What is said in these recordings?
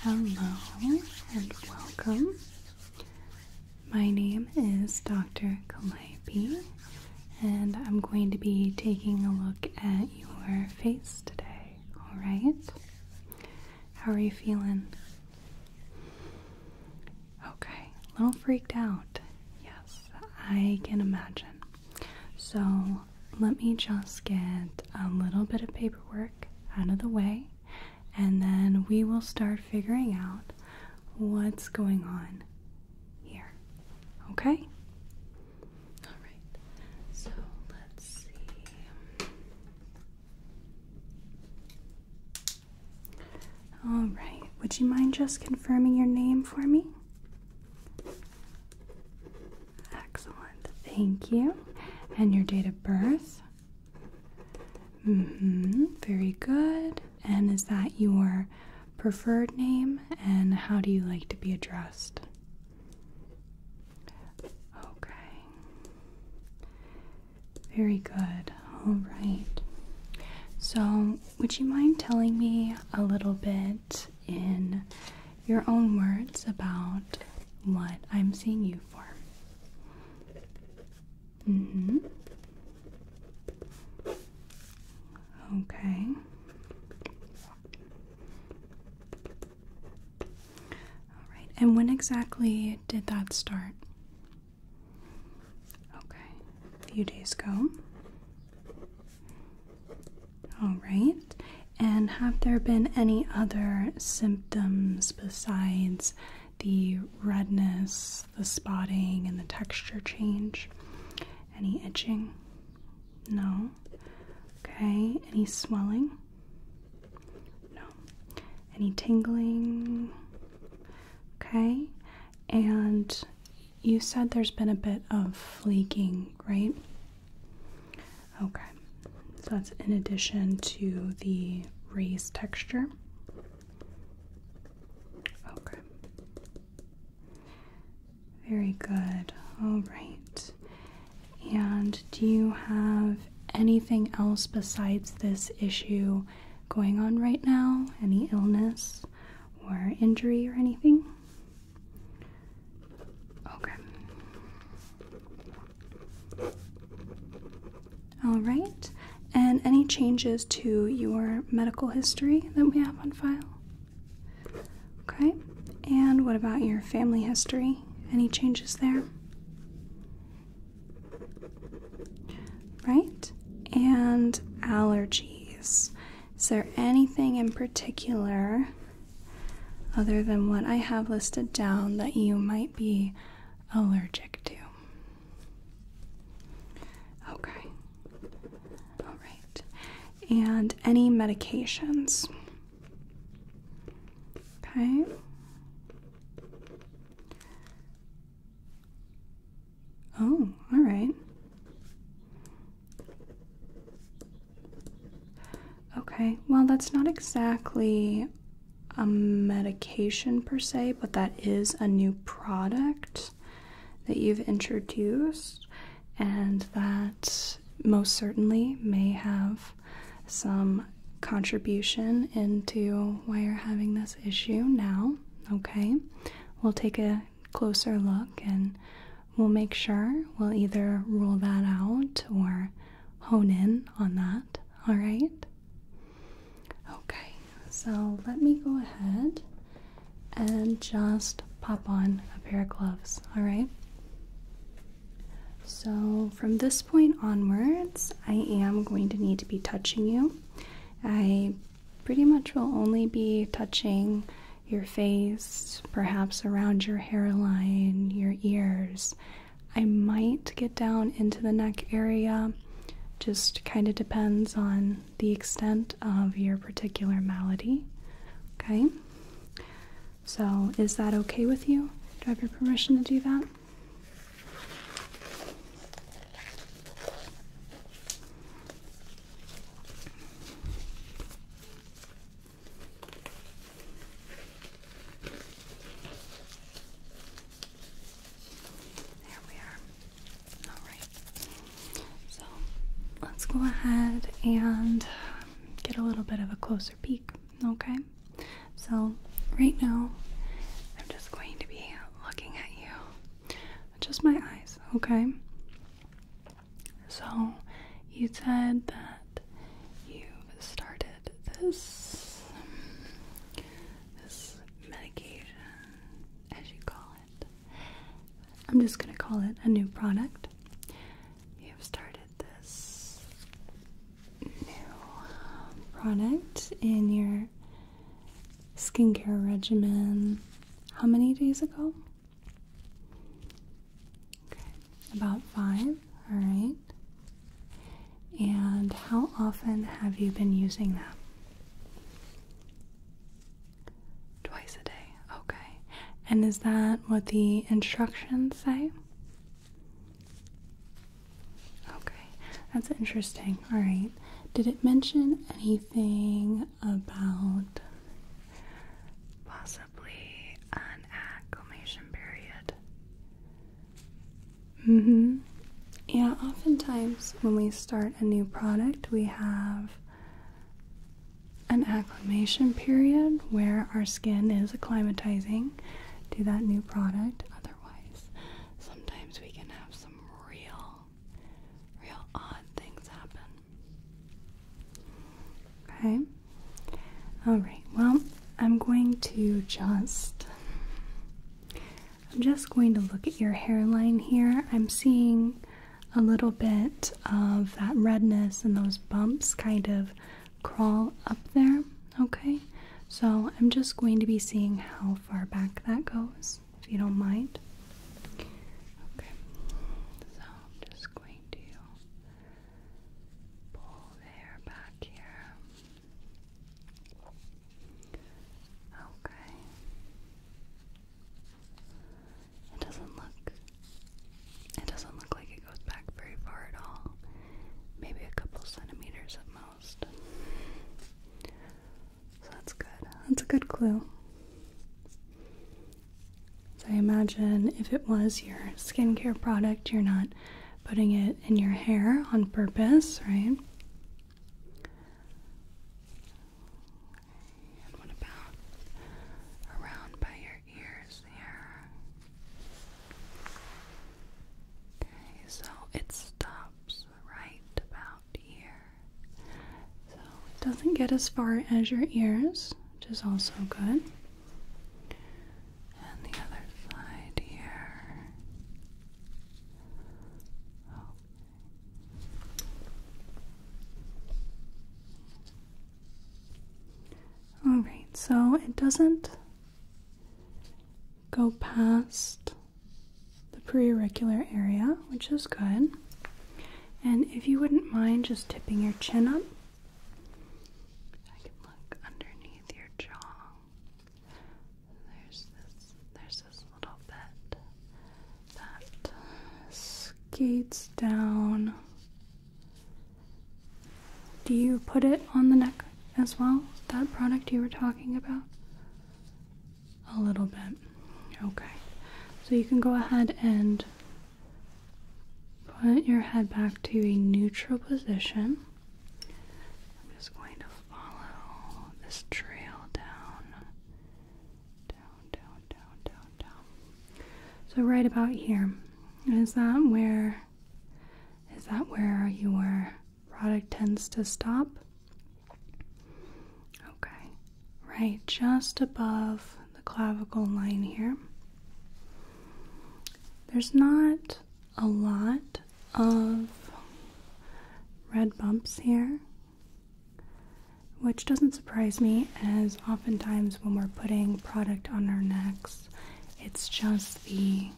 Hello and welcome. My name is Dr. Kalei. And I'm going to be taking a look at your face today, alright? How are you feeling? Okay, a little freaked out. Yes, I can imagine. So, let me just get a little bit of paperwork out of the way, and then we will start figuring out what's going on here. Okay? Alright, so let's see. Alright, would you mind just confirming your name for me? Excellent, thank you. And your date of birth? hmm, very good. And is that your preferred name and how do you like to be addressed? Okay. Very good. All right. So, would you mind telling me a little bit in your own words about what I'm seeing you for? Mm-hmm. okay. All right, and when exactly did that start? Okay, a few days ago. All right, and have there been any other symptoms besides the redness, the spotting, and the texture change? Any itching? No. Okay. Any swelling? No. Any tingling? Okay. And you said there's been a bit of leaking, right? Okay. So that's in addition to the raised texture. Okay. Very good. All right. And do you have anything else besides this issue going on right now? Any illness or injury or anything? Okay. All right. And any changes to your medical history that we have on file? Okay, and what about your family history? Any changes there? Right, and allergies. Is there anything in particular other than what I have listed down that you might be allergic to? Okay. All right. And any medications? Okay. Oh, all right. Okay, well, that's not exactly a medication per se, but that is a new product that you've introduced, and that most certainly may have some contribution into why you're having this issue now. Okay, we'll take a closer look and we'll make sure we'll either rule that out or hone in on that. All right, okay. So let me go ahead and just pop on a pair of gloves, all right? So from this point onwards, I am going to need to be touching you. I pretty much will only be touching your face, perhaps around your hairline, your ears. I might get down into the neck area, just kind of depends on the extent of your particular malady. Okay? So, is that okay with you? Do I have your permission to do that? There we are. Alright, so let's go ahead and get a little bit of a closer peek, okay? So, right now, I'm just going to be looking at you just my eyes, okay? So, you said that you started this, this medication, as you call it. I'm just going to call it a new product. You've started this new um, product in your skincare regimen how many days ago? about five. All right. And how often have you been using them? Twice a day, okay. And is that what the instructions say? Okay, that's interesting. All right. Did it mention anything about possibly an acclimation period? Mm hmm. Yeah, oftentimes when we start a new product, we have an acclimation period where our skin is acclimatizing to that new product. Otherwise, sometimes we can have some real, real odd things happen. Okay? Alright, well, I'm going to just I'm just going to look at your hairline here. I'm seeing a little bit of that redness and those bumps kind of crawl up there. Okay, so I'm just going to be seeing how far back that goes, if you don't mind. Okay, so I'm just going to pull the hair back here. Okay. It doesn't look it doesn't look like it goes back very far at all. Maybe a couple centimeters at most. So that's good. That's a good clue. So I imagine if it was your skincare product, you're not putting it in your hair on purpose, right? what about around by your ears here? Okay, so it stops right about here. So it doesn't get as far as your ears, which is also good. And the other side here. All right, so it doesn't go past the preauricular area, which is good. And if you wouldn't mind just tipping your chin up, I can look underneath your jaw. There's this, there's there's this little bit that skates down. Do you put it on the neck as well? That product you were talking about? A little bit. Okay. So you can go ahead and put your head back to a neutral position. I'm just going to follow this trail down down, down, down, down. So right about here, is that where is that where your product tends to stop? Okay, right just above the clavicle line here. There's not a lot of red bumps here which doesn't surprise me as oftentimes when we're putting product on our necks it's just the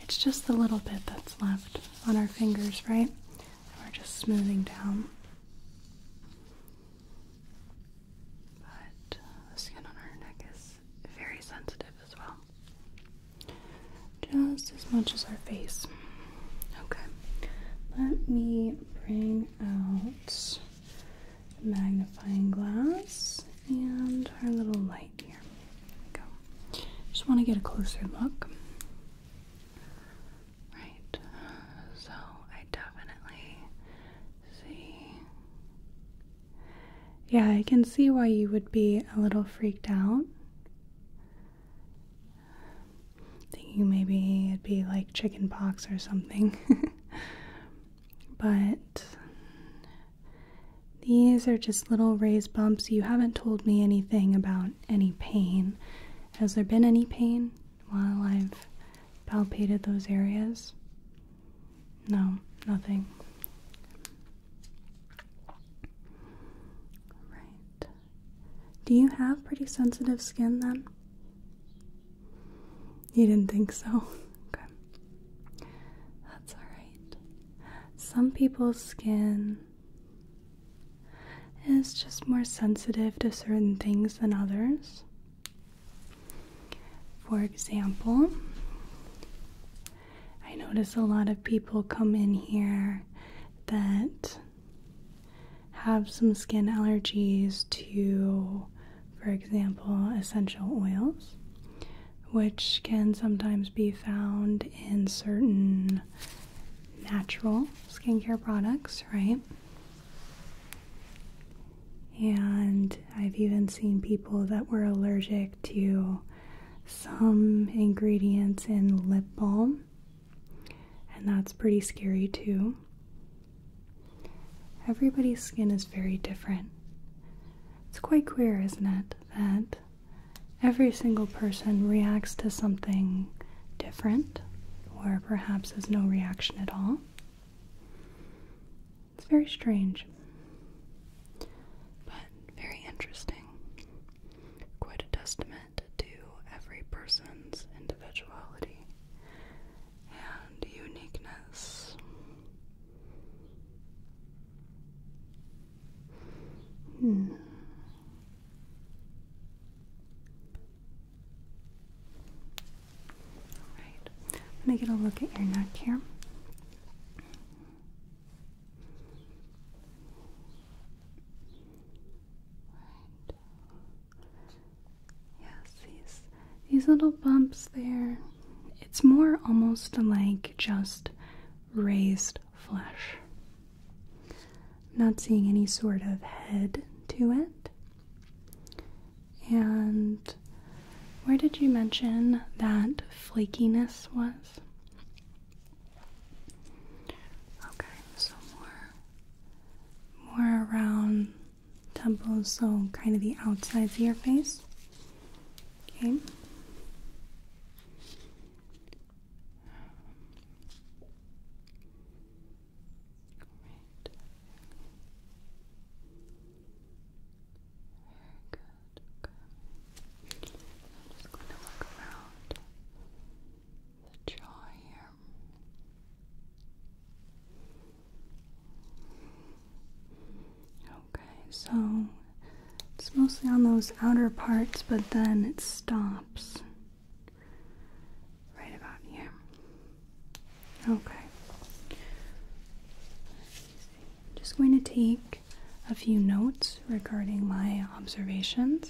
it's just the little bit that's left on our fingers right we're just smoothing down but the skin on our neck is very sensitive as well just as much as our face. Okay, let me bring out the magnifying glass and our little light here. go. Just want to get a closer look. Right, so I definitely see. Yeah, I can see why you would be a little freaked out thinking maybe it'd be like chicken pox or something. but these are just little raised bumps. You haven't told me anything about any pain. Has there been any pain while I've palpated those areas? No, nothing. Right. Do you have pretty sensitive skin then? You didn't think so? Okay. That's alright. Some people's skin is just more sensitive to certain things than others. For example, I notice a lot of people come in here that have some skin allergies to, for example, essential oils, which can sometimes be found in certain natural skincare products, right? And I've even seen people that were allergic to some ingredients in lip balm and that's pretty scary too. Everybody's skin is very different. It's quite queer, isn't it? That every single person reacts to something different, or perhaps has no reaction at all. It's very strange, but very interesting. Quite a testament intimate to every person's individuality and uniqueness. Hmm. Alright, I'm going to get a look at your neck here. Yes, these these little bumps there. It's more almost like just raised flesh. I'm not seeing any sort of head to it. And where did you mention that flakiness was? Okay, so more, more around temples, so kind of the outsides of your face. Okay. Great. Very good. Okay. I'm just going to look around the jaw here. Okay, so it's mostly on those outer parts, but then it stops right about here. Okay. Just going to take a few notes regarding my observations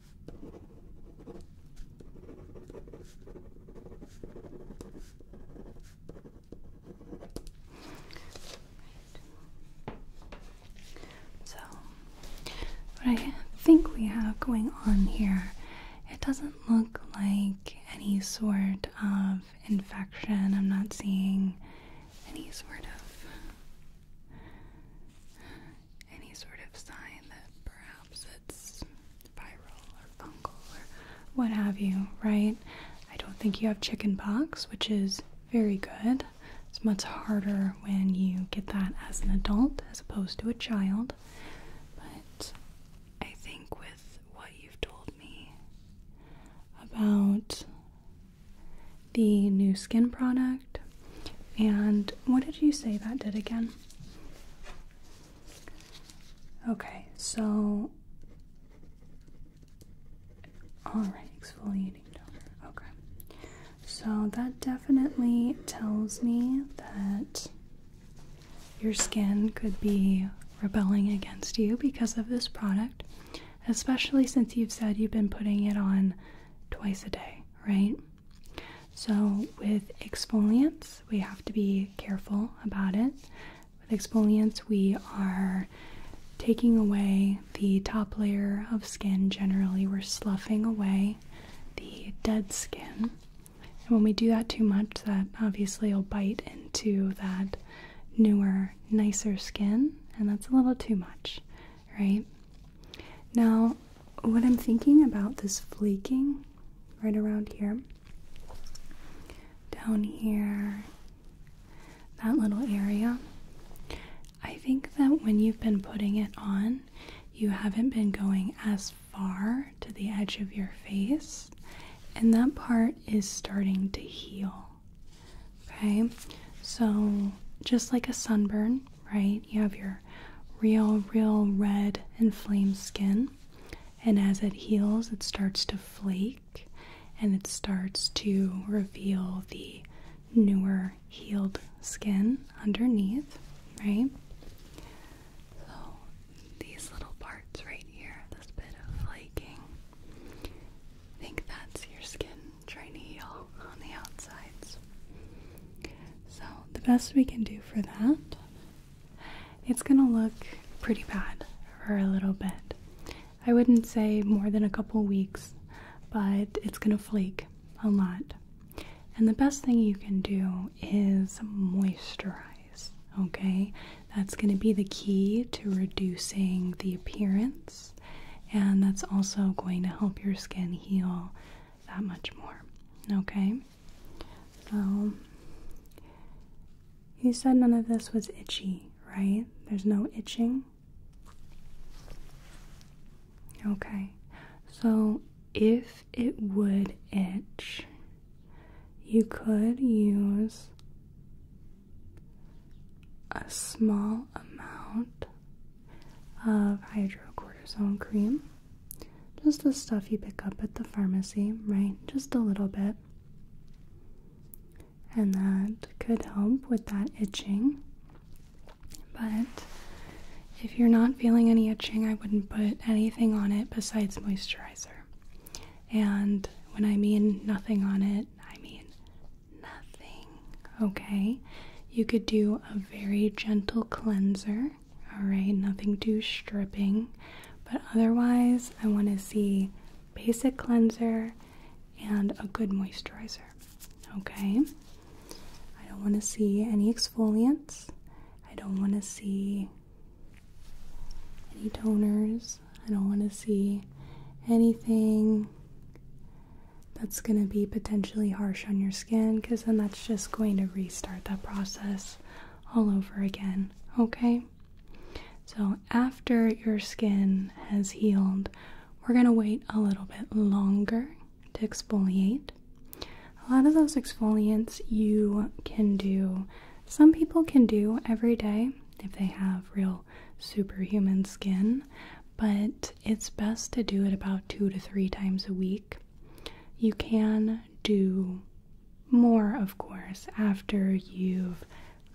So, what I think we have going on here, it doesn't look like any sort of infection. I'm not seeing any sort of any sort of sign that perhaps it's viral or fungal or what have you, right? I don't think you have chickenpox, which is very good. It's much harder when you get that as an adult as opposed to a child. But I think with what you've told me about the new skin product, and what did you say that did again? Okay, so. Alright, exfoliating Okay. So that definitely tells me that your skin could be rebelling against you because of this product, especially since you've said you've been putting it on twice a day, right? So, with exfoliants, we have to be careful about it. With exfoliants, we are taking away the top layer of skin. Generally, we're sloughing away the dead skin. And when we do that too much, that obviously will bite into that newer, nicer skin, and that's a little too much right? Now, what I'm thinking about this flaking right around here, down here, that little area, I think that when you've been putting it on, you haven't been going as far to the edge of your face, and that part is starting to heal. Okay, so just like a sunburn, right? You have your real, real red inflamed skin, and as it heals, it starts to flake and it starts to reveal the newer healed skin underneath, right? So, these little parts right here, this bit of flaking, I think that's your skin trying to heal on the outsides. So, the best we can do for that, it's gonna look pretty bad for a little bit. I wouldn't say more than a couple weeks, but it's gonna flake a lot. And the best thing you can do is moisturize, okay? That's gonna be the key to reducing the appearance, and that's also going to help your skin heal that much more. Okay? So, you said none of this was itchy, right? There's no itching? Okay. So, if it would itch, you could use a small amount of hydrocortisone cream. Just the stuff you pick up at the pharmacy, right? Just a little bit. And that could help with that itching. But if you're not feeling any itching, I wouldn't put anything on it besides moisturizer. And when I mean nothing on it, I mean nothing. Okay, you could do a very gentle cleanser, all right, nothing too stripping, but otherwise, I want to see basic cleanser and a good moisturizer. Okay, I don't want to see any exfoliants, I don't want to see any toners, I don't want to see anything that's going to be potentially harsh on your skin because then that's just going to restart that process all over again. Okay? So, after your skin has healed, we're going to wait a little bit longer to exfoliate. A lot of those exfoliants you can do, some people can do every day if they have real superhuman skin, but it's best to do it about two to three times a week. You can do more, of course, after you've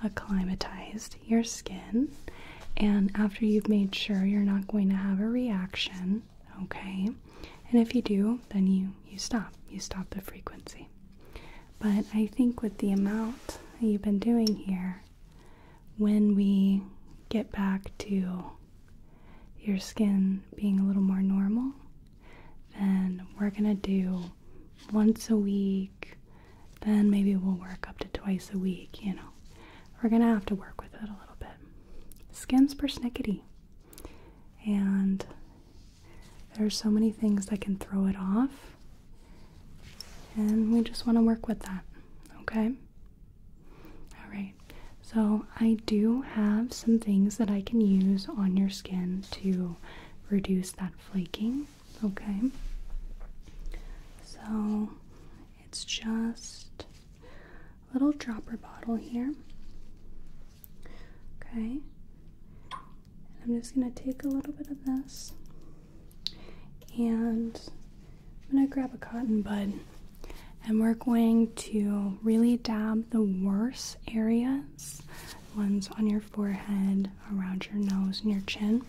acclimatized your skin and after you've made sure you're not going to have a reaction, okay? And if you do, then you, you stop. You stop the frequency. But I think with the amount that you've been doing here, when we get back to your skin being a little more normal, then we're gonna do once a week, then maybe we'll work up to twice a week, you know. We're gonna have to work with it a little bit. Skin's persnickety, and there's so many things that can throw it off, and we just wanna work with that, okay? All right, so I do have some things that I can use on your skin to reduce that flaking, okay? So it's just a little dropper bottle here, okay? I'm just gonna take a little bit of this and I'm going to grab a cotton bud and we're going to really dab the worst areas, ones on your forehead, around your nose, and your chin.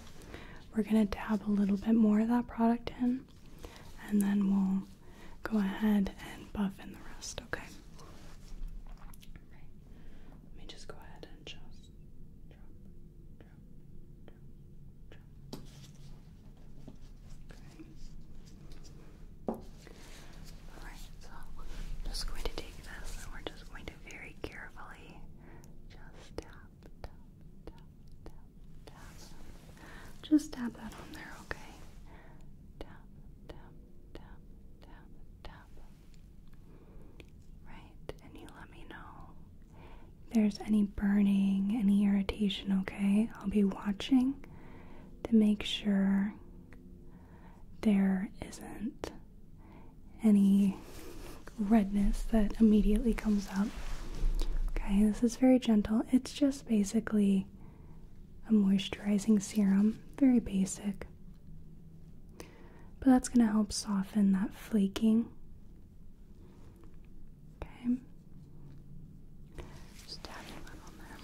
We're going to dab a little bit more of that product in and then we'll go ahead and buff in the rest, okay? Let me just go ahead and just Okay. Alright, so just going to take this and we're just going to very carefully just tap, tap, tap, tap, tap. Just tap that on there, okay? Tap, tap, tap, tap, tap. Right, and you let me know if there's any burning, any irritation, okay? I'll be watching to make sure there isn't any redness that immediately comes up. Okay, this is very gentle. It's just basically a moisturizing serum, very basic. But that's going to help soften that flaking Okay. Just dabbing that on there.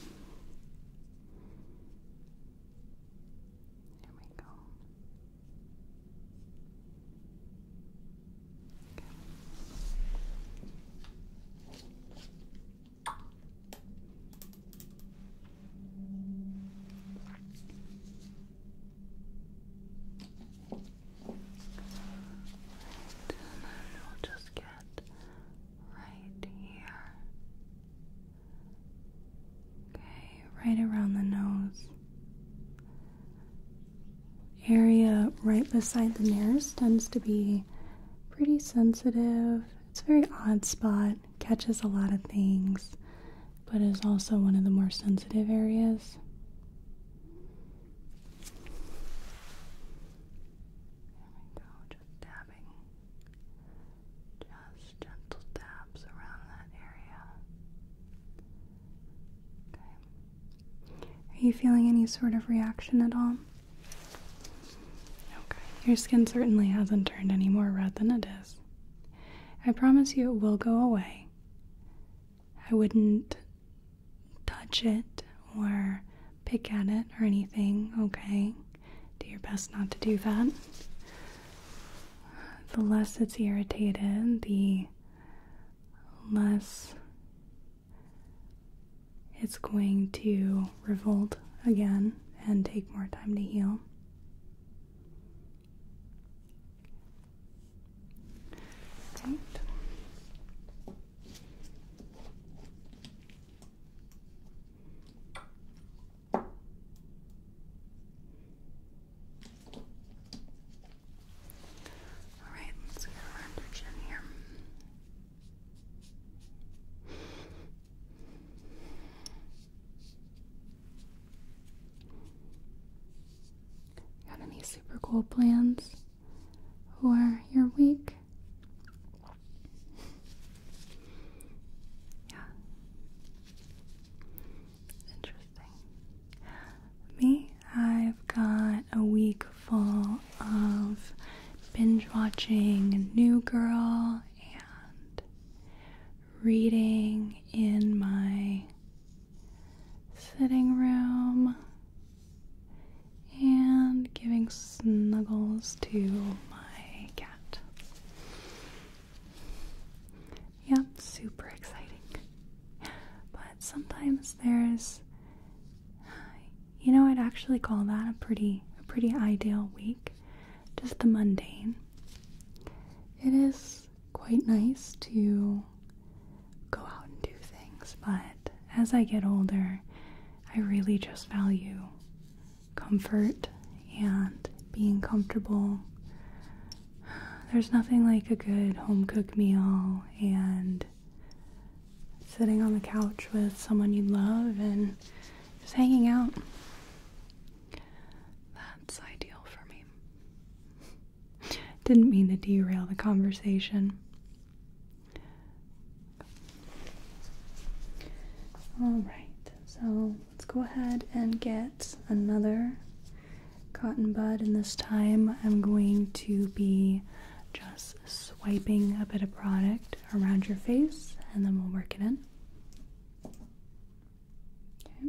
There we go. Okay. Right, and then we'll just get right here. Okay, right around the nose. Area right beside the nares tends to be pretty sensitive. It's a very odd spot, catches a lot of things, but is also one of the more sensitive areas we go, just dabbing. Just gentle dabs around that area. Okay. Are you feeling any sort of reaction at all? Okay. Your skin certainly hasn't turned any more red than it is. I promise you it will go away. I wouldn't touch it or pick at it or anything, okay? Do your best not to do that. The less it's irritated, the less it's going to revolt again and take more time to heal tape. All right, let's get around your chin here. Got any super cool plans for your week? yeah. Interesting. Me, I've got a week full of binge watching New Girl and reading in my sitting room and giving snuggles to my cat. Yep, super exciting. But sometimes there's you know, I'd actually call that a pretty a pretty ideal week. Just the mundane. It is quite nice to go out and do things, but as I get older, I really just value comfort and being comfortable. There's nothing like a good home cooked meal and sitting on the couch with someone you love and just hanging out. That's ideal for me. Didn't mean to derail the conversation. All right, so let's go ahead and get another cotton bud, and this time I'm going to be just swiping a bit of product around your face and then we'll work it in. Okay.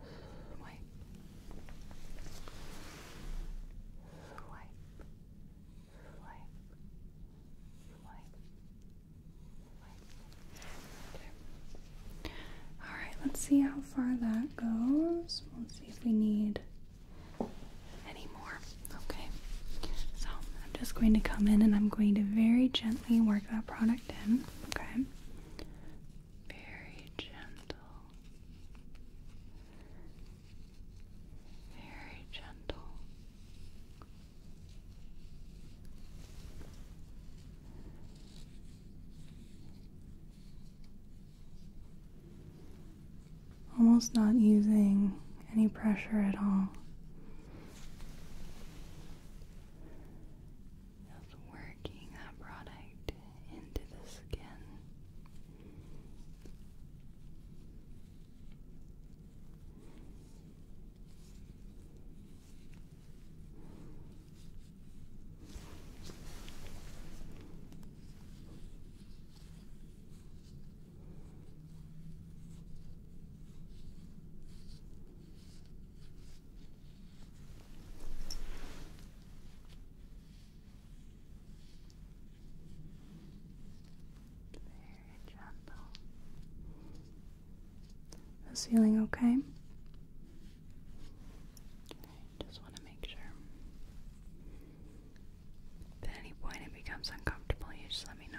wipe, wipe, wipe, wipe, wipe. Okay. All right, let's see how far that goes. We'll see if we need any more. Okay, so I'm just going to come in and I'm going to very gently work that product in. Okay. Very gentle, very gentle. Almost not using any pressure at all of working that product into the skin. Very gentle. Is feeling okay? just want to make sure. at any point it becomes uncomfortable, you just let me know.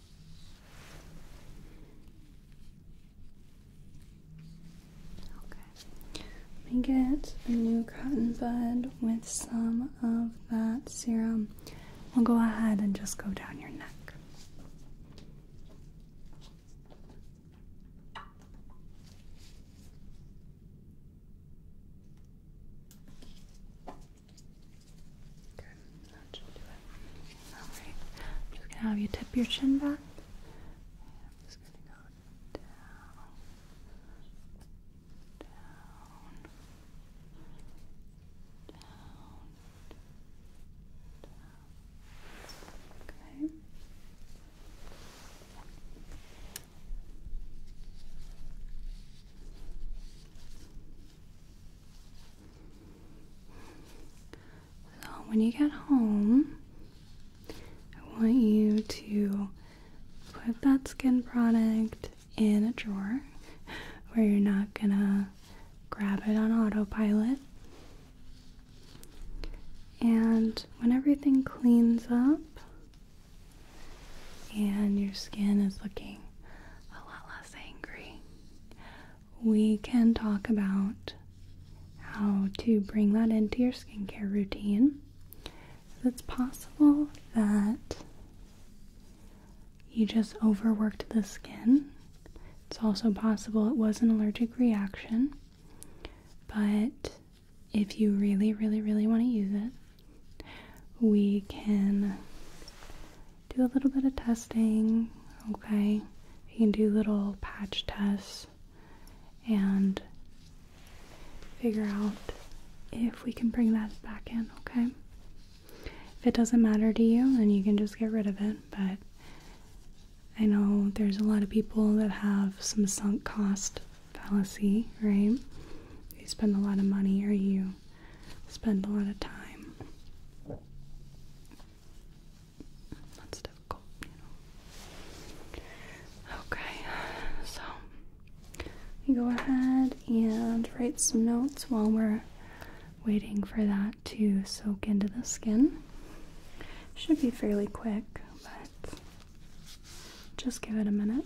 Okay. Let me get a new cotton bud with some of that serum. We'll go ahead and just go down your neck. I'm just gonna have you tip your chin back. And down. Down. Down. Okay. So, when you get home, I want you to put that skin product in a drawer where you're not gonna grab it on autopilot. And when everything cleans up and your skin is looking a lot less angry, we can talk about how to bring that into your skincare routine. It's possible that you just overworked the skin. It's also possible it was an allergic reaction. But if you really, really, really want to use it, we can do a little bit of testing, okay? You can do little patch tests and figure out if we can bring that back in, okay? If it doesn't matter to you, then you can just get rid of it, but I know there's a lot of people that have some sunk cost fallacy, right? You spend a lot of money or you spend a lot of time that's difficult, you know. Okay, so you go ahead and write some notes while we're waiting for that to soak into the skin. Should be fairly quick, but just give it a minute.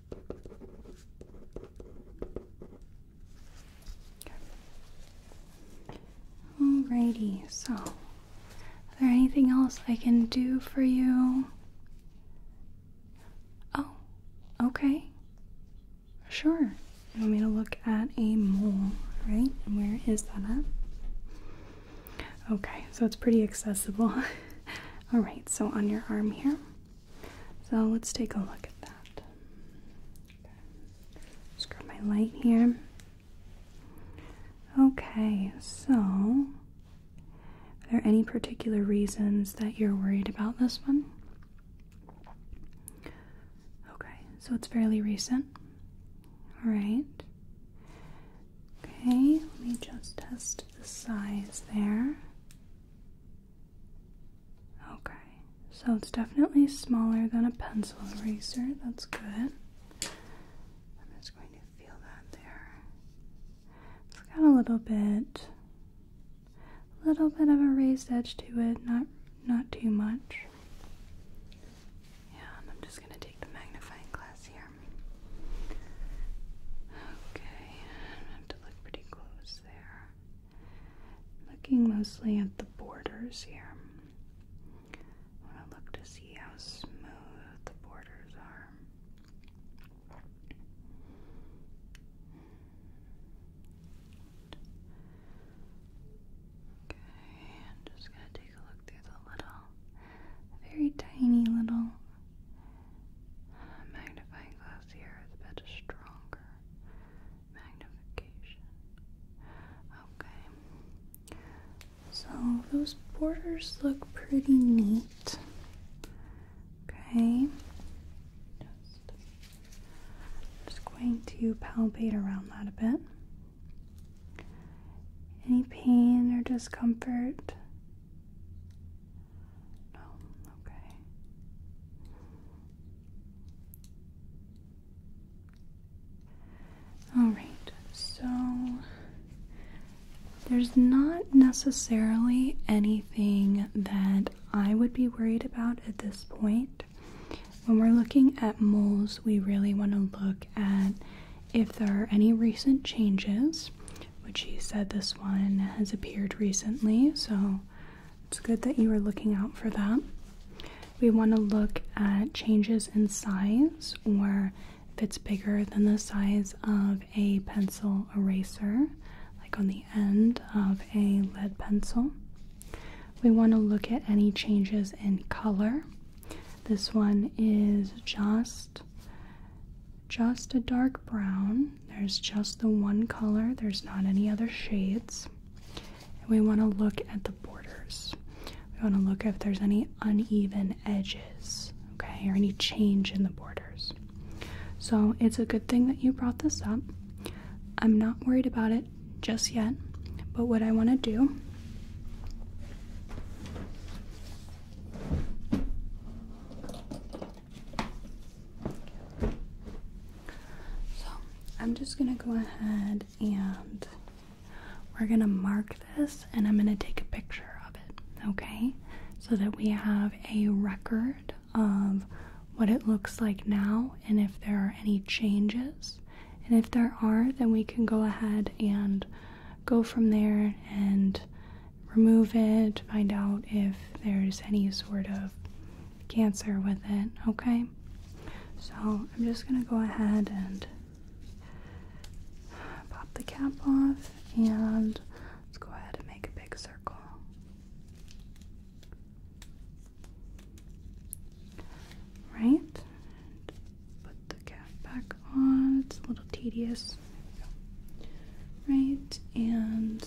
Alrighty, so is there anything else I can do for you? Oh, okay. Sure. You want me to look at a mole, right? where is that at? Okay, so it's pretty accessible. Alright, so on your arm here, so let's take a look at that. Okay. my light here. Okay, so are there any particular reasons that you're worried about this one? Okay, so it's fairly recent. Right. Okay, let me just test the size there. Okay, so it's definitely smaller than a pencil eraser. That's good. I'm just going to feel that there. It's got a little bit, a little bit of a raised edge to it. Not, not too much. Yeah, I'm just going to take the magnifying glass here. Okay, I have to look pretty close. Looking mostly at the borders here. I want to look to see how smooth the borders are. Okay, I'm just going to take a look through the little, very tiny little magnifying glass here is a bit stronger. Magnification. Okay. So those borders look pretty neat. Okay. just going to palpate around that a bit. Any pain or discomfort? No, oh, okay. All right, so there's not necessarily anything that I would be worried about at this point. When we're looking at moles, we really want to look at if there are any recent changes which he said this one has appeared recently, so it's good that you are looking out for that. We want to look at changes in size or if it's bigger than the size of a pencil eraser, like on the end of a lead pencil. We want to look at any changes in color. This one is just just a dark brown. There's just the one color, there's not any other shades. we want to look at the borders. We want to look if there's any uneven edges, okay, or any change in the borders. So it's a good thing that you brought this up. I'm not worried about it just yet, but what I want to do so I'm just gonna go ahead and we're gonna mark this and I'm gonna take a picture of it, okay? So that we have a record of what it looks like now and if there are any changes. And if there are, then we can go ahead and go from there and remove it, find out if there's any sort of cancer with it, okay? So I'm just gonna go ahead and pop the cap off and let's go ahead and make a big circle. Right? Put the cap back on. It's a little tedious. Right, and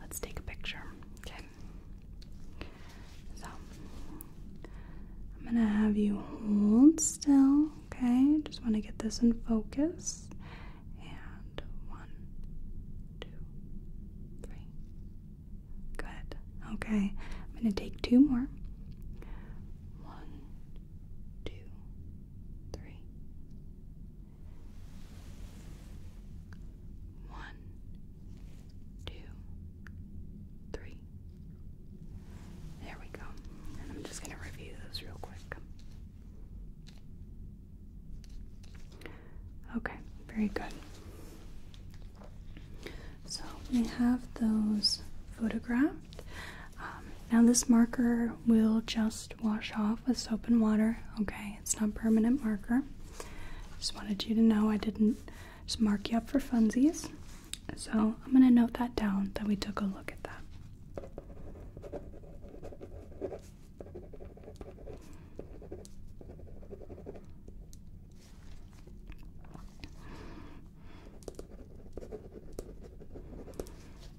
let's take a picture. Okay. So I'm gonna have you hold still. Okay. Just want to get this in focus. And one, two, three. Good. Okay. I'm gonna take two more. One, two, three. One, two, three. There we go. I'm just going to review those real quick. Okay, very good. So we have those photographed. Um, now, this marker will just wash off with soap and water, okay? It's not permanent marker. Just wanted you to know I didn't just mark you up for funsies. So, I'm gonna note that down that we took a look at that.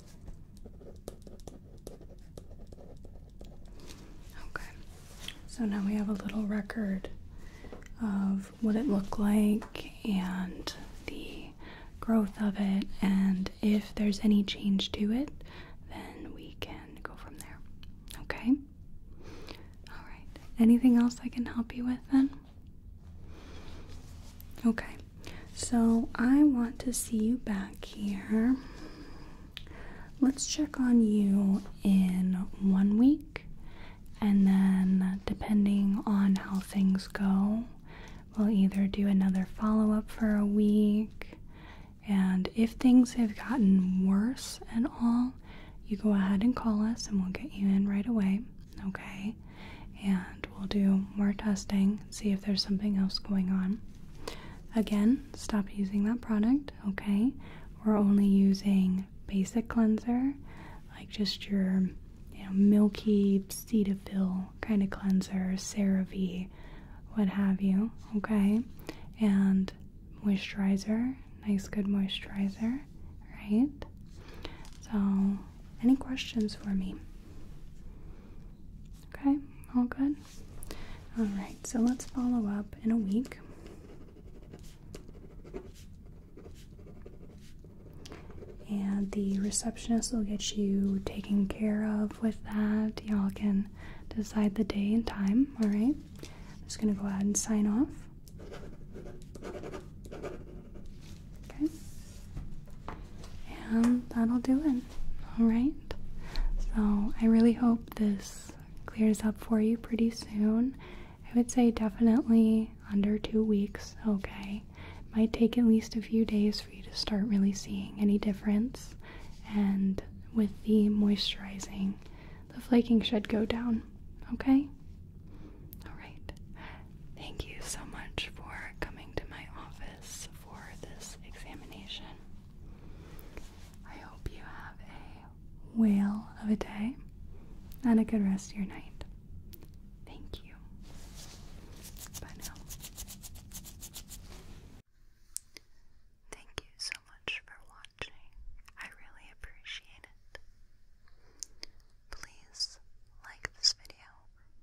Okay, so now we have a little record of what it looked like and the growth of it, and if there's any change to it, then we can go from there. Okay? Alright, anything else I can help you with then? Okay, so I want to see you back here. Let's check on you in one week, and then depending on how things go, we'll either do another follow up for a week. And if things have gotten worse and all, you go ahead and call us and we'll get you in right away okay? And we'll do more testing, see if there's something else going on. Again, stop using that product, okay? We're only using basic cleanser, like just your you know, milky Cetaphil kind of cleanser, CeraVe, what have you, okay? And moisturizer, nice good moisturizer, right? So, any questions for me? Okay, all good? Alright, so let's follow up in a week. And the receptionist will get you taken care of with that. Y'all can decide the day and time, alright? I'm just gonna go ahead and sign off. Okay. And that'll do it. Alright. So I really hope this clears up for you pretty soon. I would say definitely under two weeks, okay. might take at least a few days for you to start really seeing any difference. And with the moisturizing, the flaking should go down, okay? Alright. Thank you so much for coming to my office for this examination. I hope you have a whale of a day and a good rest of your night. Thank you. Bye now. Thank you so much for watching. I really appreciate it. Please like this video,